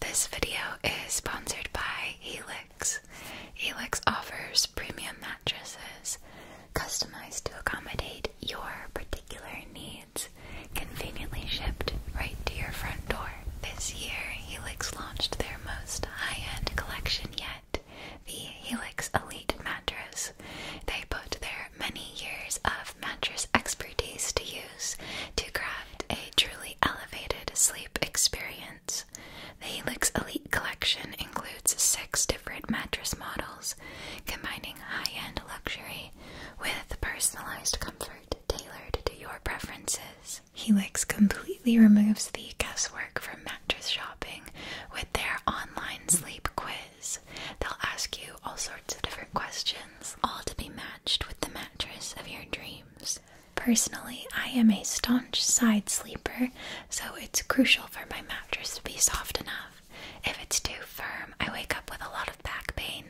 This video is sponsored by Helix. Helix offers premium mattresses customized to accommodate your particular needs, conveniently shipped right to your front door. This year, Helix launched their most high-end collection yet, the Helix Elite mattress. They put their many years of mattress expertise to use to craft a truly elevated sleep experience. The Helix Elite Collection includes six different mattress models, combining high end luxury with personalized comfort tailored to your preferences. Helix completely removes the guesswork from mattress shopping with their online sleep quiz. They'll ask you all sorts of different questions, all to be matched with the mattress of your dreams. Personally, I am a staunch side sleeper, so it's crucial for my mattress to be soft enough. If it's too firm, I wake up with a lot of back pain.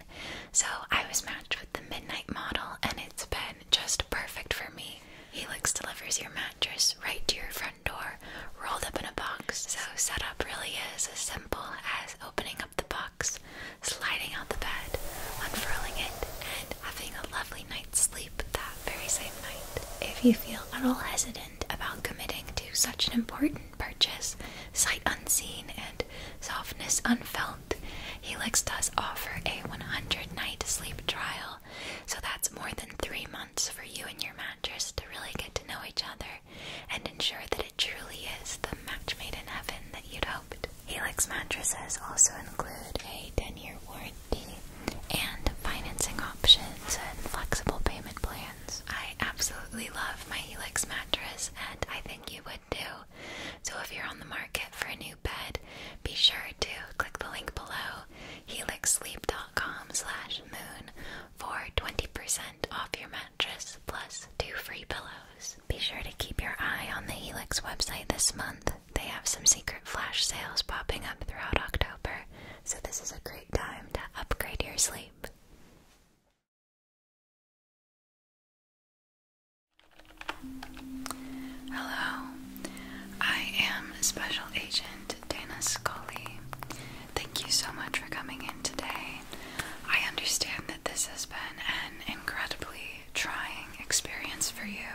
So I was matched with the Midnight model, and it's been just perfect for me. Helix delivers your mattress right to your front door, rolled up in a box. So, setup really is as simple as opening up the box, sliding out the bed, unfurling it, and having a lovely night's sleep that very same night. If you feel at all hesitant about committing to such an important purchase, sight unseen and softness unfelt, Helix does offer a 100 night sleep trial, so that's more than three months for you and your mattress to really get to know each other and ensure that it truly is the match made in heaven that you'd hope. Helix mattresses also include a 10-year warranty and financing options and flexible payment plans. I absolutely love my Helix mattress and I think you would too. So if you're on the market for a new bed, be sure to click the link below helixsleep.com slash moon for 20% off your mattress plus two free pillows. Be sure to keep your eye on the Helix website this month. They have some secret flash sales popping up throughout October, so this is a great time to upgrade your sleep. Hello, I am Special Agent Dana Scully. Thank you so much for coming in today. I understand that this has been an incredibly trying experience for you.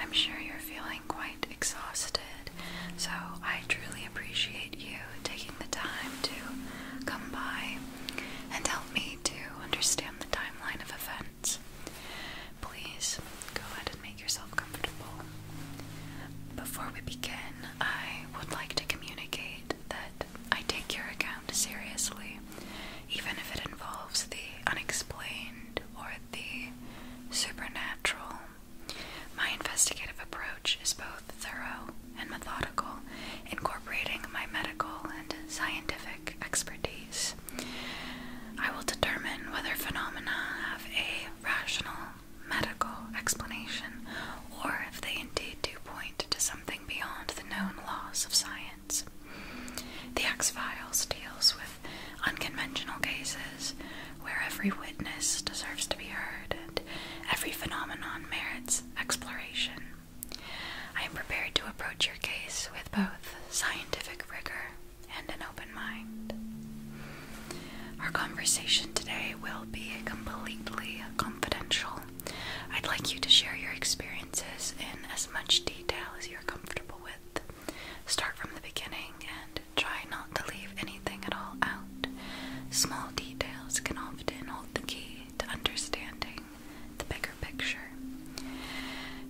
I'm sure you're feeling quite exhausted, so I truly appreciate you taking the time to come by and help me to understand the timeline of events. Please go ahead and make yourself comfortable. Before we begin, I would like to communicate that I take your account seriously even if it involves the unexplained or the supernatural. My investigative approach is both thorough and methodical, incorporating my medical and scientific expertise. I will determine whether phenomena have a rational medical explanation or if they indeed do point to something beyond the known laws of science. The X Files deals with unconventional cases where every witness deserves to be heard and every phenomenon merits exploration. I am prepared to approach your case with both scientific rigor and an open mind. Our conversation today will be completely confidential. I'd like you to share your experiences in as much detail as you're comfortable with. Start from the beginning and try not to leave anything at all out. Small details can often hold the key to understanding the bigger picture.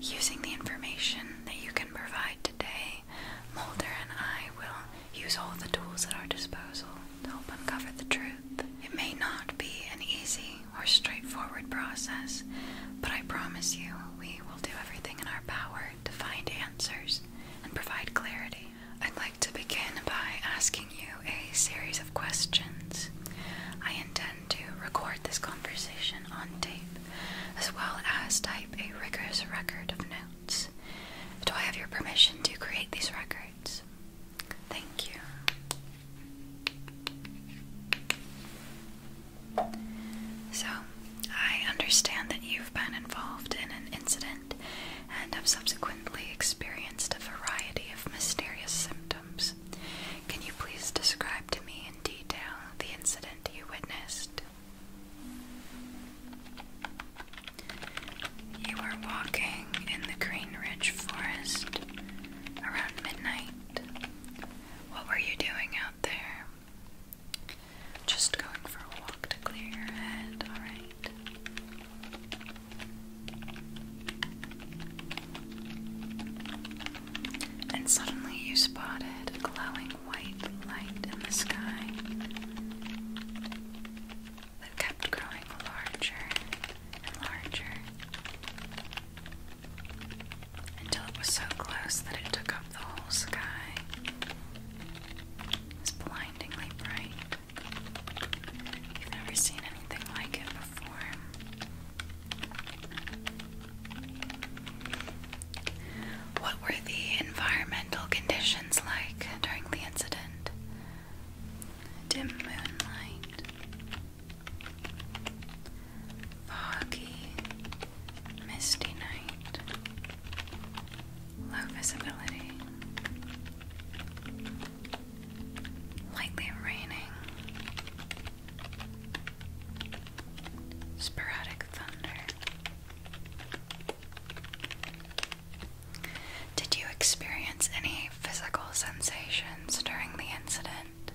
Using the information that you can provide today, Mulder and I will use all the tools at our disposal to help uncover the truth. It may not be an easy or straightforward process, but I promise you we will do everything in our power to find answers and provide clarity. I'd like to begin by asking you a series of questions. I intend to record this conversation on tape, as well as type a rigorous record of notes. Do I have your permission to create these records? Thank you. So, I understand that you've been involved in an incident and have subsequently experienced a variety of mysterious symptoms. Can you please describe to me in detail the incident you witnessed? You were walking in the Green Ridge Forest around midnight. What were you doing out there? Just going for a walk to clear your head, alright? And suddenly you spotted a glowing white light in the sky that kept growing larger and larger until it was so close that it took up the whole sky. It was blindingly bright. You've never seen anything like it before. What were the environmental conditions like during the incident? Dim moonlight, foggy, misty night, low visibility, lightly raining, sporadic thunder. Did you experience any physical sensations during the incident.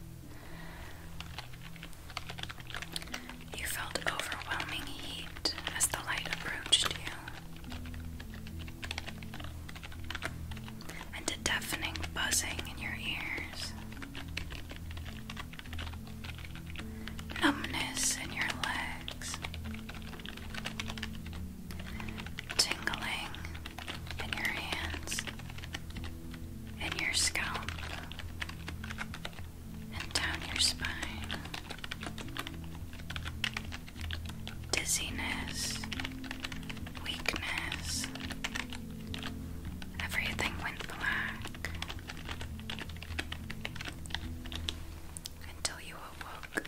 You felt overwhelming heat as the light approached you, and a deafening buzzing in your ears. Numbness in your legs, tingling in your hands, in your scalp, and down your spine. Dizziness, weakness, everything went black until you awoke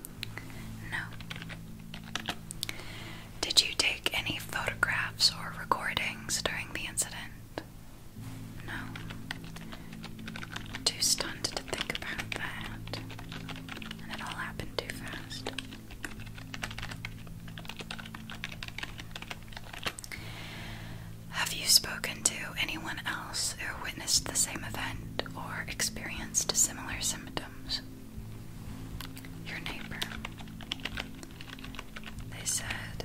No. Did you take any photographs or recordings during the incident? No. Too stunned to think about that. it all happened too fast. Have you spoken to anyone else who witnessed the same event or experienced similar symptoms? your neighbor. They said,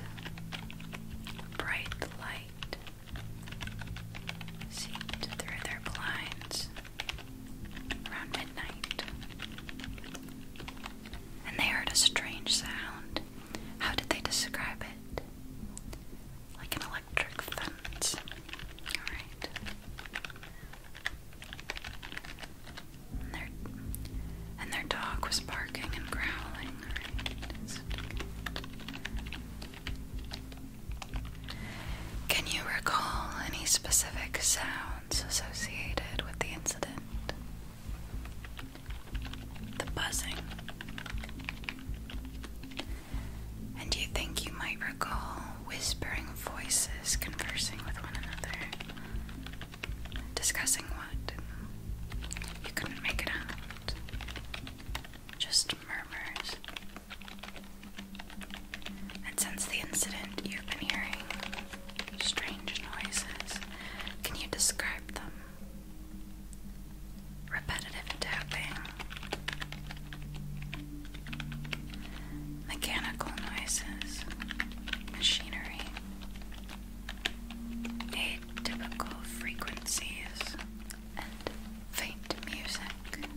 bright light seeped through their blinds around midnight. And they heard a strange sound. How did they describe it? Like an electric fence. Alright. And their, dog was barking and growling, Can you recall any specific sounds associated with the incident? The buzzing. And do you think you might recall whispering voices conversing with one another. Discussing what? You couldn't make it out. Just murmurs. And since the incident, you've been hearing strange noises. Can you describe them? Repetitive tapping, mechanical noises, machinery, atypical frequencies, and faint music.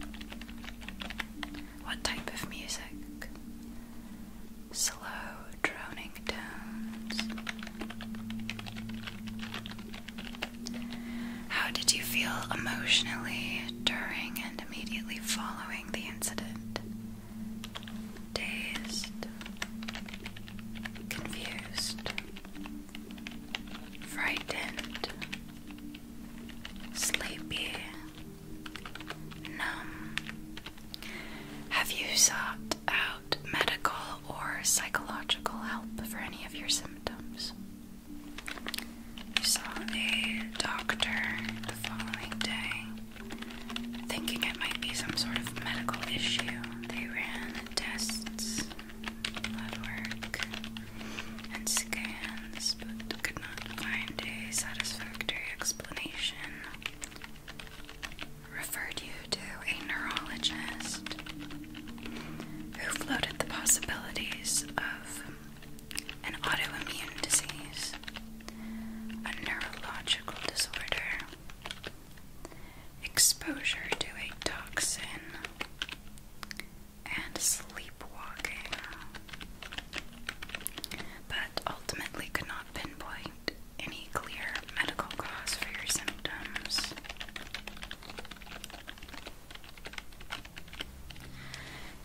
What type of music? Slow droning tones. How did you feel emotionally during happened immediately following the incident. Dazed, confused, frightened, sleepy, numb. Have you sought out medical or psychological help for any of your symptoms? I saw a doctor the following day, thinking it might be some sort of medical issue. They ran tests, blood work, and scans, but could not find a satisfactory explanation. Referred you to a neurologist who floated the possibilities of an autoimmune disease, a neurological disorder, exposure to a toxin, and sleepwalking, but ultimately could not pinpoint any clear medical cause for your symptoms.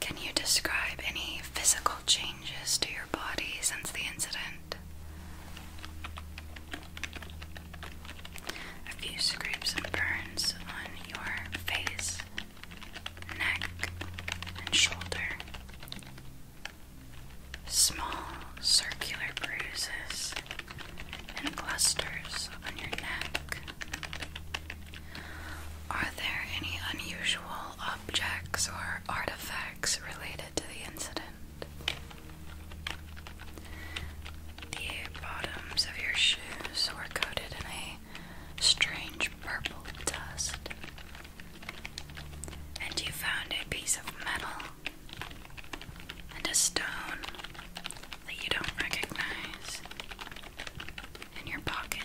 Can you describe any physical changes to your body since the incident? A few scrapes and burns on your face, neck, and shoulder. Small circular bruises and clusters on your neck. Are there any unusual objects or artifacts related to the incident? The bottoms of your shoes were coated in a strange purple dust. And you found a piece of metal and a stone that you don't recognize in your pocket.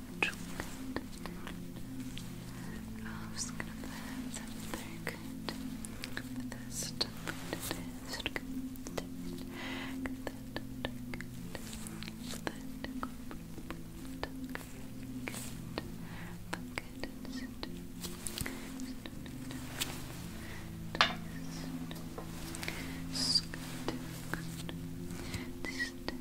Ralph's gonna put that very good. But that's not what it is. Good. Good. Good. Good. Good. Good. Good. Good.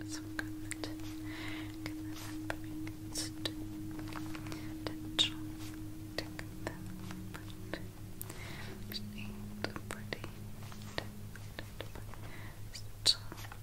It's good. Get that against tension. Take that but need pretty. Still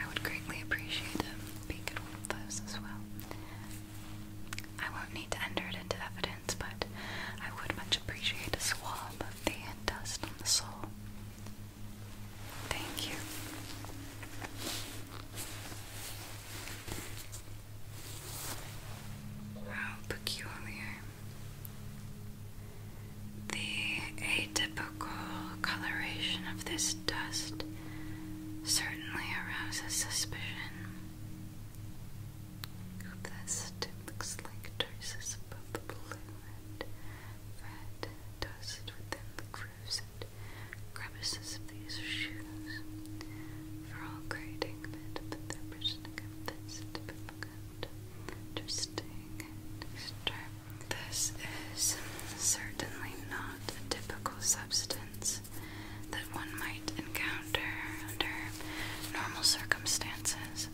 I would greatly appreciate it if you could those as well. I won't need to enter it into evidence, but I would much appreciate a swab of the dust on the sole. Thank you. How peculiar. The the atypical coloration of this dust certainly arouses suspicion. This looks like traces above the blue and red dust within the grooves and crevices of these shoes. For all grading that, but their prison again fits to be Interesting and this is certainly not a typical substance that one might encounter under normal circumstances.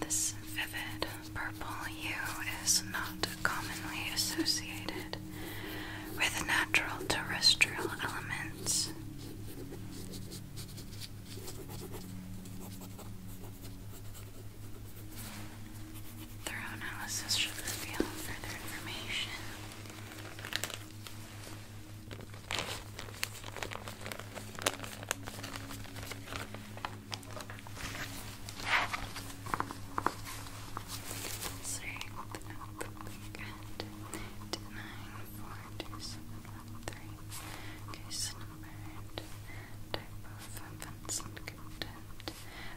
This vivid purple hue is not commonly associated with natural terrestrial elements. Thorough analysis should further information. Sorry, at the nine four two seven one three. Case numbered. Type of offense and content.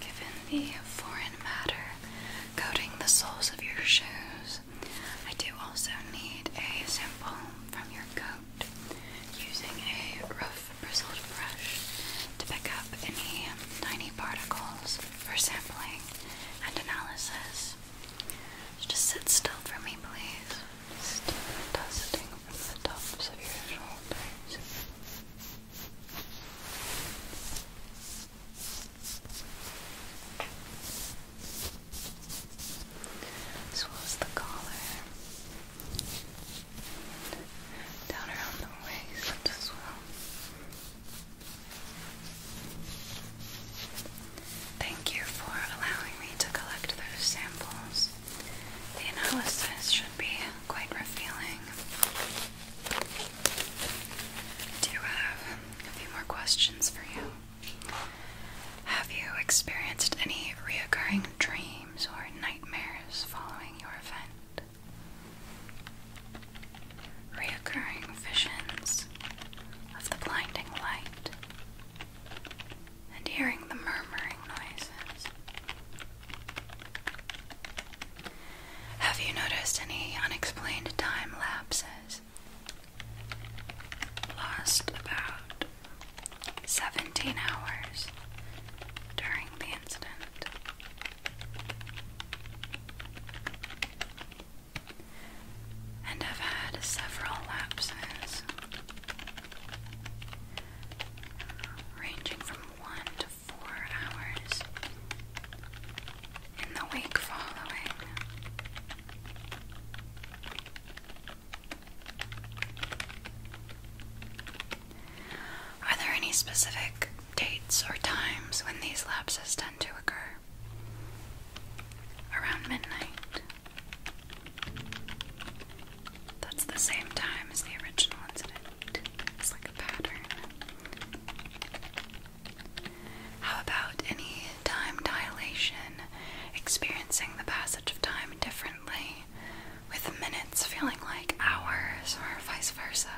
Given the foreign matter coating the soles of your shoes, I do also need a sample from your coat using a rough bristled brush to pick up any tiny particles for sampling and analysis. Just sit still for me, please. dusting from the tops of your shoulders. As well as the collar. Down around the waist as well. Thank you for allowing me to collect those samples. The analysis should be quite revealing. Do you have a few more questions for you? Have you experienced any reoccurring dreams or nightmares following your event? Reoccurring visions of the blinding light and hearing the murmuring noises. Have you noticed any unexplained time lapses? Lost about 17 hours during the incident and I've had several lapses ranging from one to four hours in the week following. Are there any specific dates or times when these lapses tend to occur? around midnight. That's the same time as the original incident. It's like a pattern. How about any time dilation, experiencing the passage of time differently, with minutes feeling like hours or vice versa?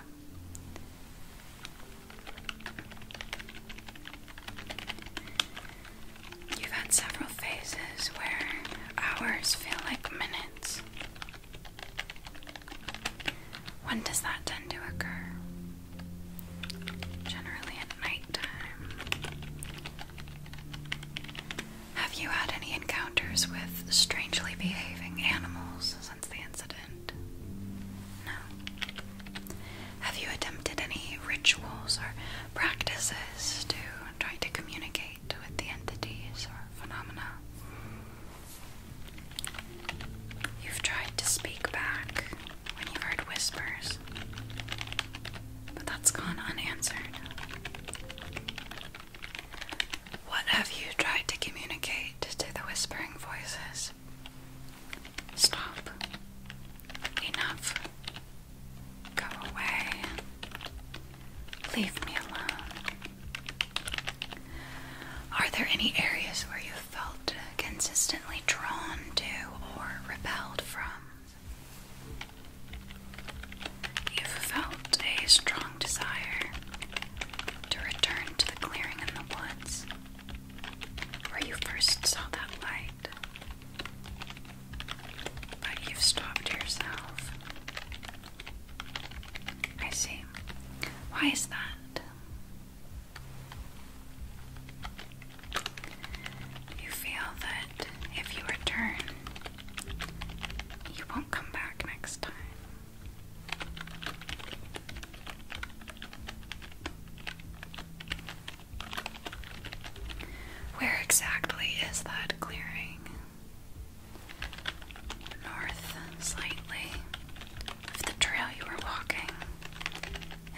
You've had several phases where hours feel like minutes. When does that tend to occur? Generally at nighttime. Have you had any encounters with strangely behaving animals since the incident? No. Have you attempted any rituals or practices to try to communicate with the entities or phenomena? You've tried to speak back when you heard whispers, but that's gone unanswered. What have you tried to communicate to the whispering voices? Stop. Enough. Go away. Leave me alone. Are there any areas where you felt consistently drawn to or repelled from? you felt a strong desire to return to the clearing in the woods, where you first saw that light, but you've stopped yourself. I see. Why is that? You feel that if you return, you won't come back next time. Where exactly is that clearing? North, slightly, the trail you were walking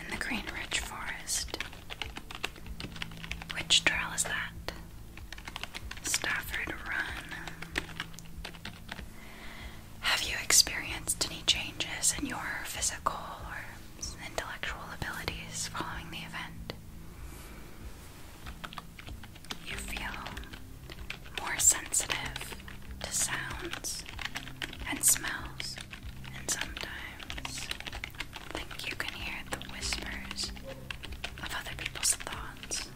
in the Green Ridge Forest. Which trail is that? Stafford Run. Have you experienced any changes in your physical or intellectual abilities following the event. You feel more sensitive to sounds and smells, and sometimes think you can hear the whispers of other people's thoughts.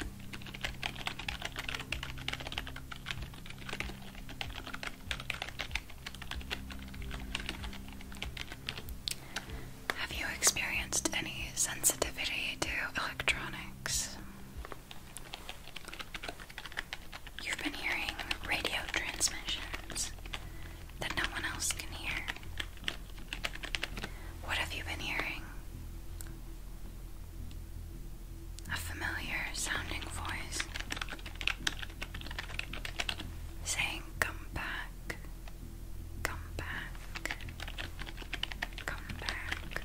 Have you experienced any sensitivity to electronics? You've been hearing radio transmissions that no one else can hear. What have you been hearing? A familiar sounding voice saying, Come back, come back, come back.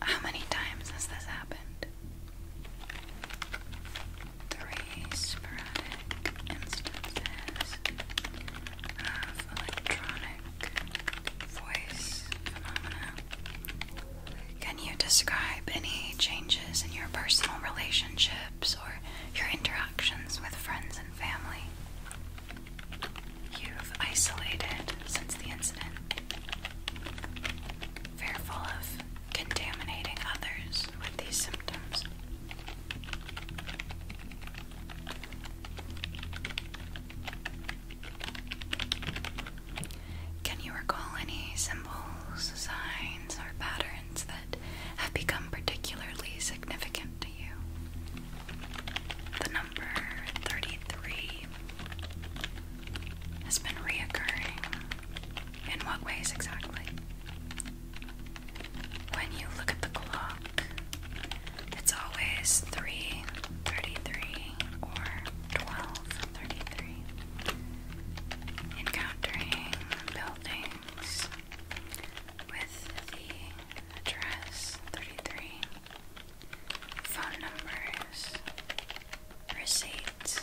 How many times has this happened? Three sporadic instances electronic voice phenomena. Can you describe any changes in your personal relationships or your interactions with friends and family? You've isolated since the incident, fearful of contaminating others with these symptoms. Can you recall any symbols, signs, or patterns that have become particularly significant to you? The number 33 has been reoccurring. In what ways exactly? When you look at the clock, it's always three thirty-three or twelve thirty-three. Encountering buildings with the address thirty-three. Phone numbers, receipts.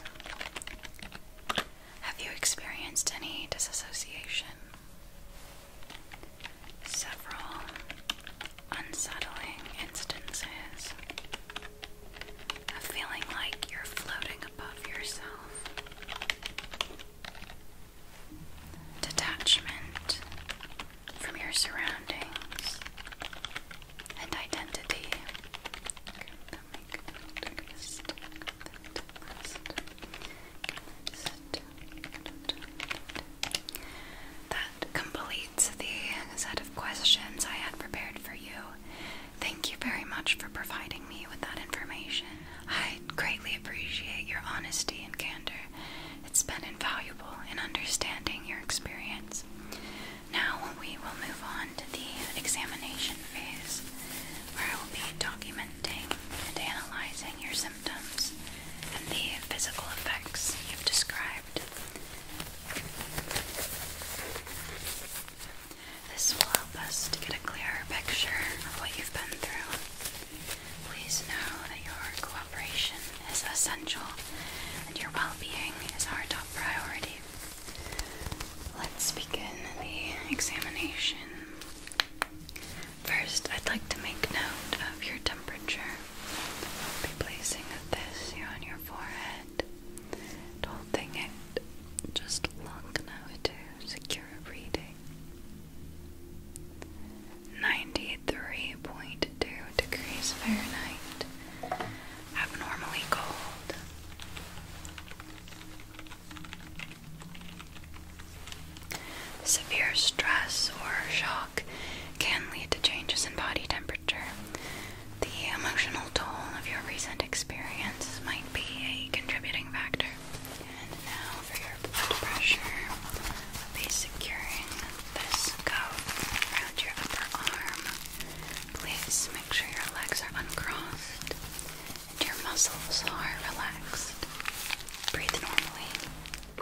Have you experienced any disassociation? several unsettling instances of feeling like you're floating above yourself. Detachment from your surroundings and identity. That completes the set of questions I had prepared for you. Thank you very much for providing me with that information. I greatly appreciate your honesty and candor. It's been invaluable in understanding your experience. Now we will move on to the examination phase, where I will be documenting and analyzing your symptoms and the physical effects you've described. This will help us to get a clearer picture of what you've been through. Please know that your cooperation is essential and your well being is our top priority. Let's begin the examination. First, I'd like to make note of your temperature. I'll be placing this here on your forehead, and it just long enough to secure a reading. 93.2 degrees Fahrenheit. Abnormally cold. Severe stress or shock can lead to changes in body temperature. The emotional toll of your recent experience might be a contributing factor. And now for your blood pressure, I'll securing this coat around your upper arm. Please make sure your legs are uncrossed and your muscles are relaxed. Breathe normally.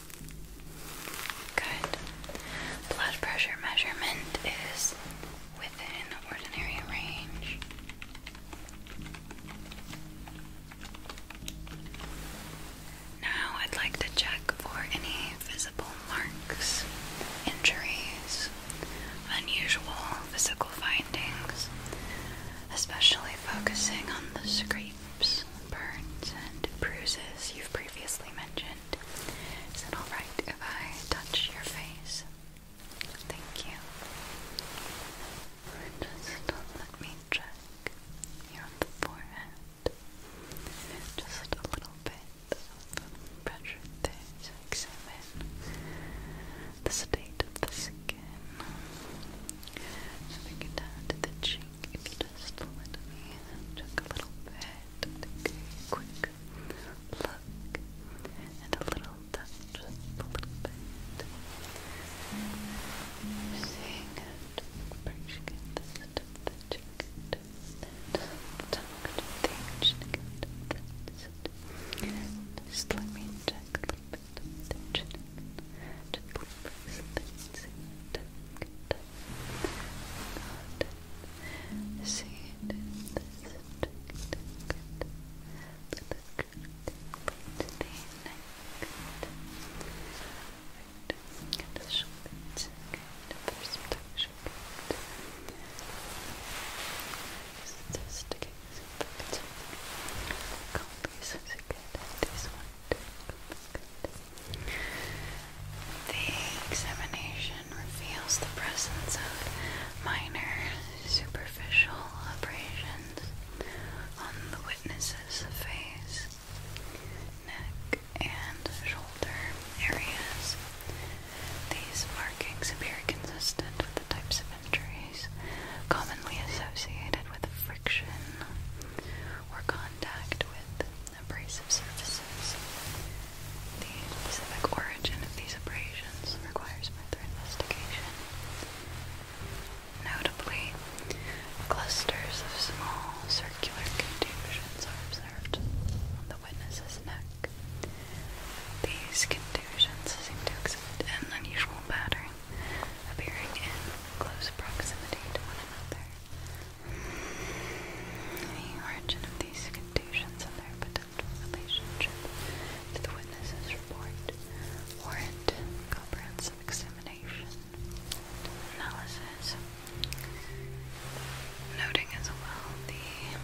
Good. Blood pressure measurement is within the ordinary range. Now I'd like to check for any visible marks, injuries, unusual physical findings, especially focusing on the screen burns, and bruises you've previously mentioned. Is it alright if I touch your face? Thank you. Just let me check here forehead. Just a little bit of pressure to examine the state of the skin. we get down the cheek. If you just let me check a little bit, a quick look and a little touch, just a little bit. You're seeing it, brush the tip of the jacket, and tuck to the edge Just let me check a little bit of the chin. Just see it. Tuck, tuck, not seated subject to the but the neck right, and the shoulders good, first protection good just to get some protection copies is good, this one too, good the examination reveals the presence of minor superficial abrasions on the witness's face, neck, and shoulder areas. These markings appear consistent with the types of injuries commonly associated with friction or contact with abrasive surfaces. The specific origin of these abrasions requires further investigation. Notably, clusters of small circular contusions are observed on the witness's neck. These contusions seem to exhibit an unusual pattern, appearing in close proximity to one another, the origin of these conditions and their potential relationship to the witness's report warrant comprehensive examination analysis. Noting as well the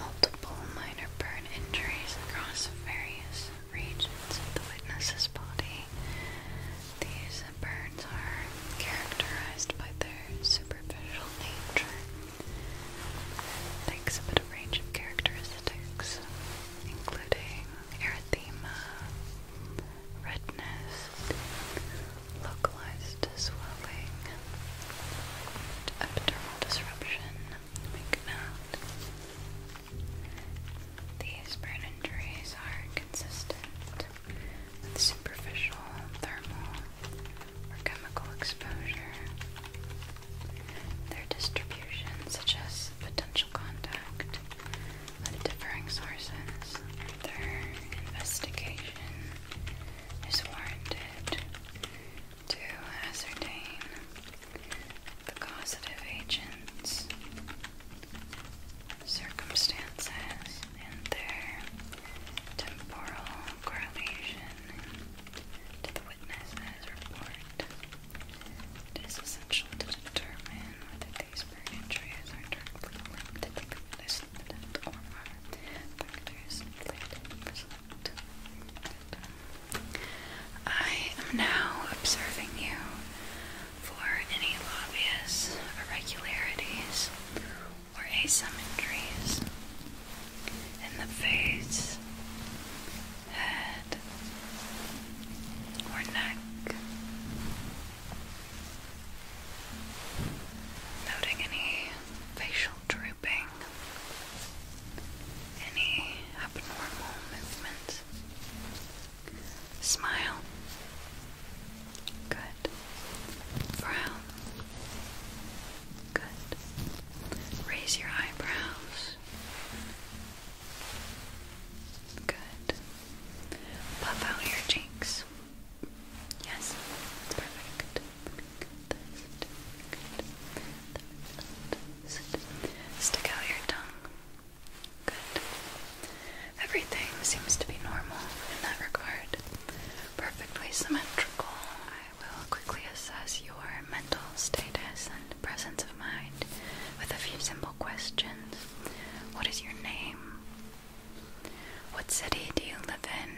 multiple minor burn injuries across various regions of the witness's body these birds are characterized by their superficial nature. It takes a range of characteristics, including erythema, redness, localized swelling, epidermal disruption, we can these burn injuries are consistent with superficial, thermal, or chemical exposure. Their distribution, such as potential contact with differing sources, their investigation is warranted to ascertain the causative agents circumstances and their temporal correlation to the witness's report. It is essential to determine whether these injuries are directly linked to the incident or are factors inflated in result. I am now observing you for any obvious irregularities or asymmetries in the face, head, or neck. Noting any facial drooping, any abnormal movement Smile. Good. Frown. Good. Raise your eyebrows. Good. Puff out your cheeks. Yes. Perfect. Good. Stick out your tongue. Good. Everything seems to be normal in that regard. Perfectly symmetrical. I will quickly assess your mental status and presence of mind with a few simple questions. What is your name? What city do you live in?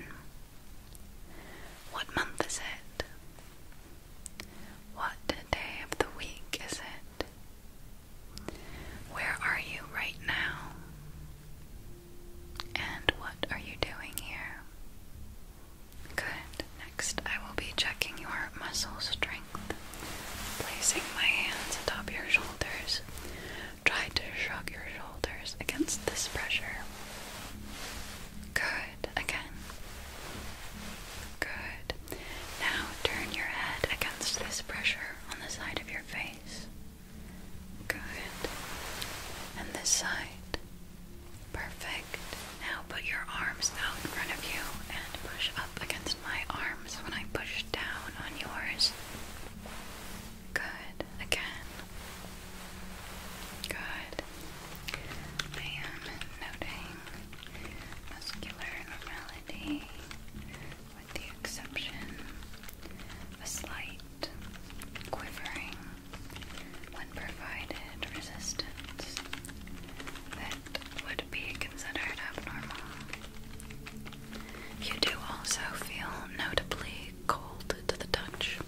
What month is it? What day of the week is it? Where are you right now? And what are you doing here? Good. Next, I will be checking your muscle strength, placing my hands atop your shoulders. Try to shrug your shoulders against this pressure. Good. Again. Good. Now turn your head against this pressure on the side of your face. Good. And this side. Perfect. Now put your arms out in front of you and push up against my arms when I push down on yours. Good. Again. Good. I am noting muscular normality, with the exception of a slight quivering when provided resistance that would be considered abnormal. You do also feel notably cold to the touch.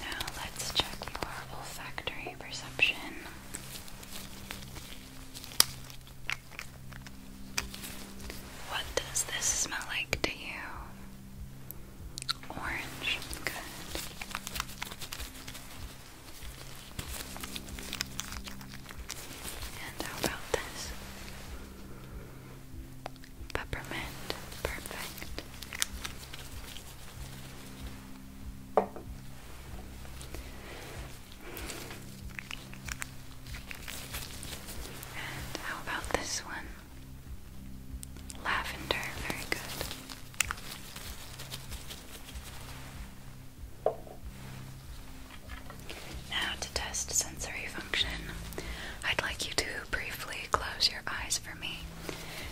Now let's check your olfactory perception. What does this smell like to you? Orange. Good. And how about this? Peppermint, perfect. And how about this one? Lavender, very good. Now, to test sensory function, I'd like you to briefly close your eyes for me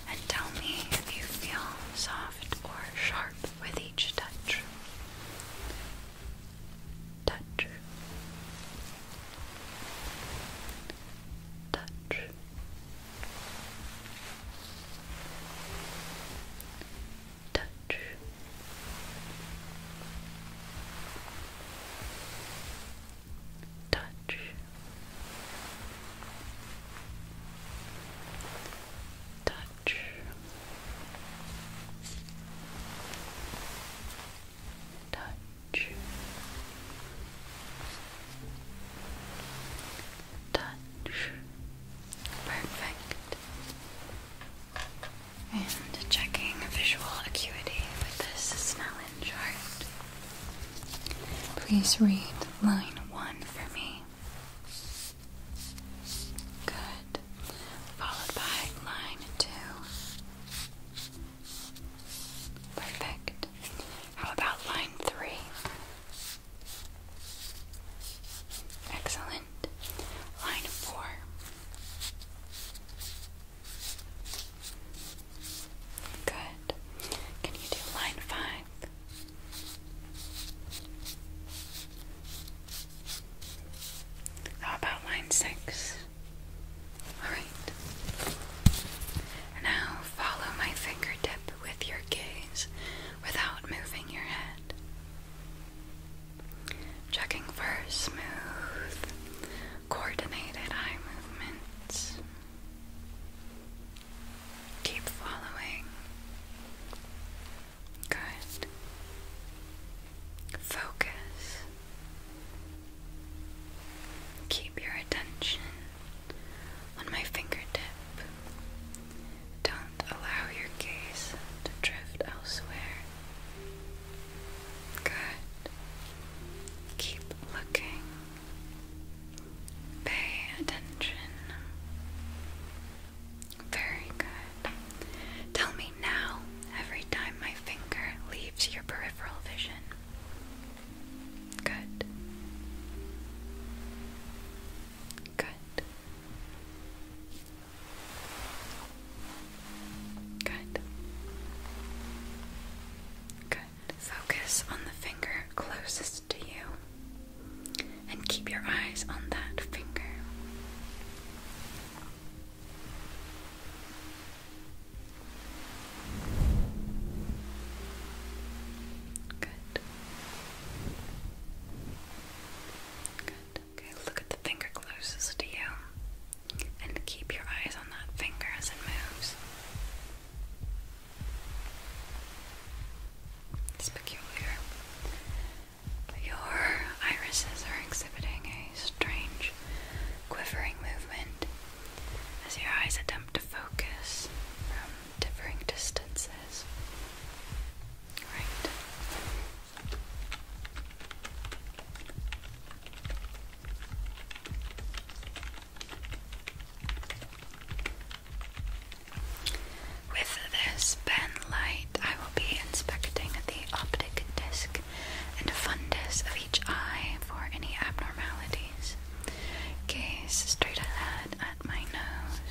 and tell me if you feel soft or sharp with each touch. Touch. Touch. Touch touch. Touch. Touch. Touch. Perfect. And checking visual acuity with this Snellen chart. Please read line one for me. Good. Followed by line two. Perfect. How about line three? Excellent. Line four. Good. Can you do line five? How about line six? Alright. Now follow my fingertip with your gaze without moving your head. Checking for smooth coordinated eye movements. Keep following. Good. Focus. Keep your attention on my fingertip. Don't allow your gaze to drift elsewhere. Good. Keep looking. Pay attention. Very good. Tell me now every time my finger leaves your peripheral vision. Good. Good. Good. Good. Focus on the finger closest to you and keep your eyes on that finger. Good. Good look at the finger closest to you and keep your eyes on that finger as it moves. It's peculiar. Your irises are exhibiting a strange quivering movement as your eyes attempt to focus from differing distances. Right. With this pen light, I will be inspecting the optic disc and fundus of each eye for any abnormalities. Gaze straight ahead at my nose.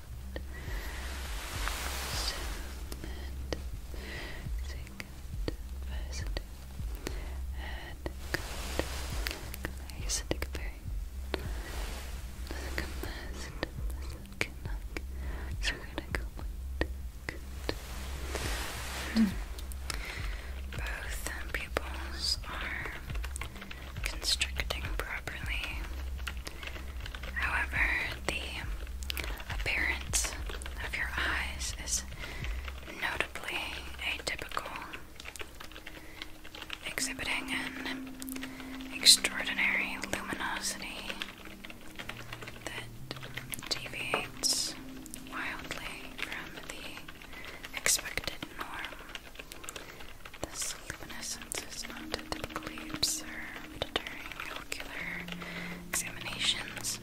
Cement, zinc, residue, and good. to compare. Doesn't combust, not So gonna go with good. Both pupils are constricting properly. However, the appearance of your eyes is notably atypical, exhibiting an extraordinary luminosity that deviates wildly from the expected norm. This luminescence is not typically observed during ocular examinations.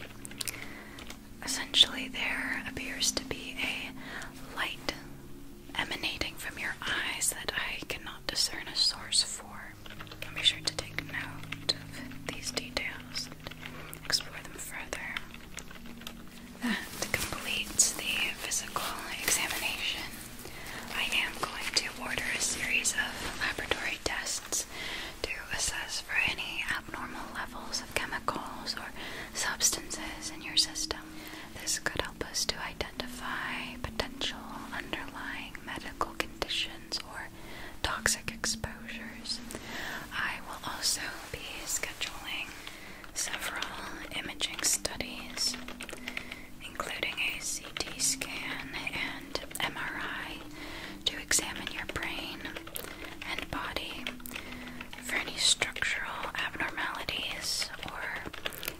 Essentially, there appears to be a light emanating from your eyes that I cannot discern a source for. I'll be sure to take note of these details and explore them further. That completes the physical examination. I am going to order a series of laboratory tests to assess for any abnormal levels of chemicals or substances in your system. This could help us to identify potential underlying medical conditions or toxic exposures. I will also be scheduling several imaging studies including a CT scan and MRI to examine your brain and body for any structural abnormalities or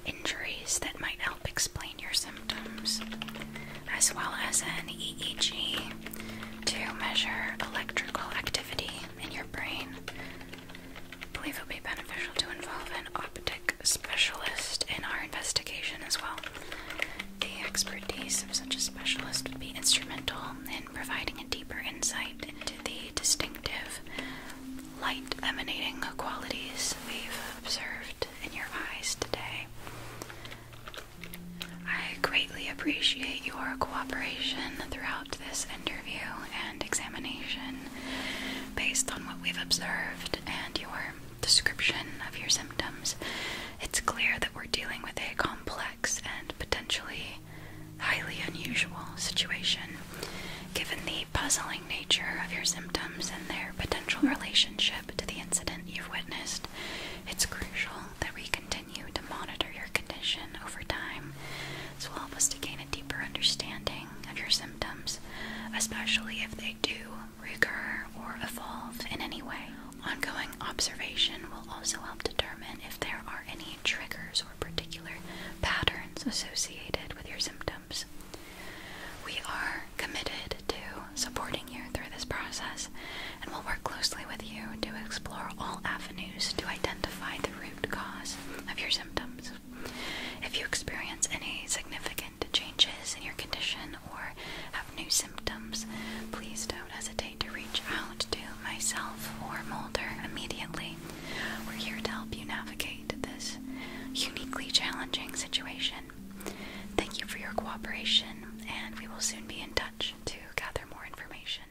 injuries that might help explain your symptoms, as well as an EEG to measure electrical activity in your brain I believe it would be beneficial to involve an optic specialist in our investigation as well. The expertise of such a specialist would be instrumental in providing a deeper insight into the distinctive light emanating qualities we've observed in your eyes today. I greatly appreciate your cooperation throughout this interview examination based on what we've observed and your description of your symptoms, it's clear that we're dealing with a complex and potentially highly unusual situation given the puzzling nature of your symptoms and their potential relationship to the incident you've witnessed. It's crucial that we continue to monitor your condition over time this will help us to gain a deeper understanding of your symptoms, especially if they do recur or evolve in any way. Ongoing observation will also help determine if there are any triggers or particular patterns associated with your symptoms. We are committed to supporting you through this process and will work closely with you to explore all avenues to identify the root cause of your symptoms. If you experience any significant changes in your condition or have new symptoms, please don't hesitate to reach out to myself or Mulder immediately. We're here to help you navigate this uniquely challenging situation. Thank you for your cooperation, and we will soon be in touch to gather more information.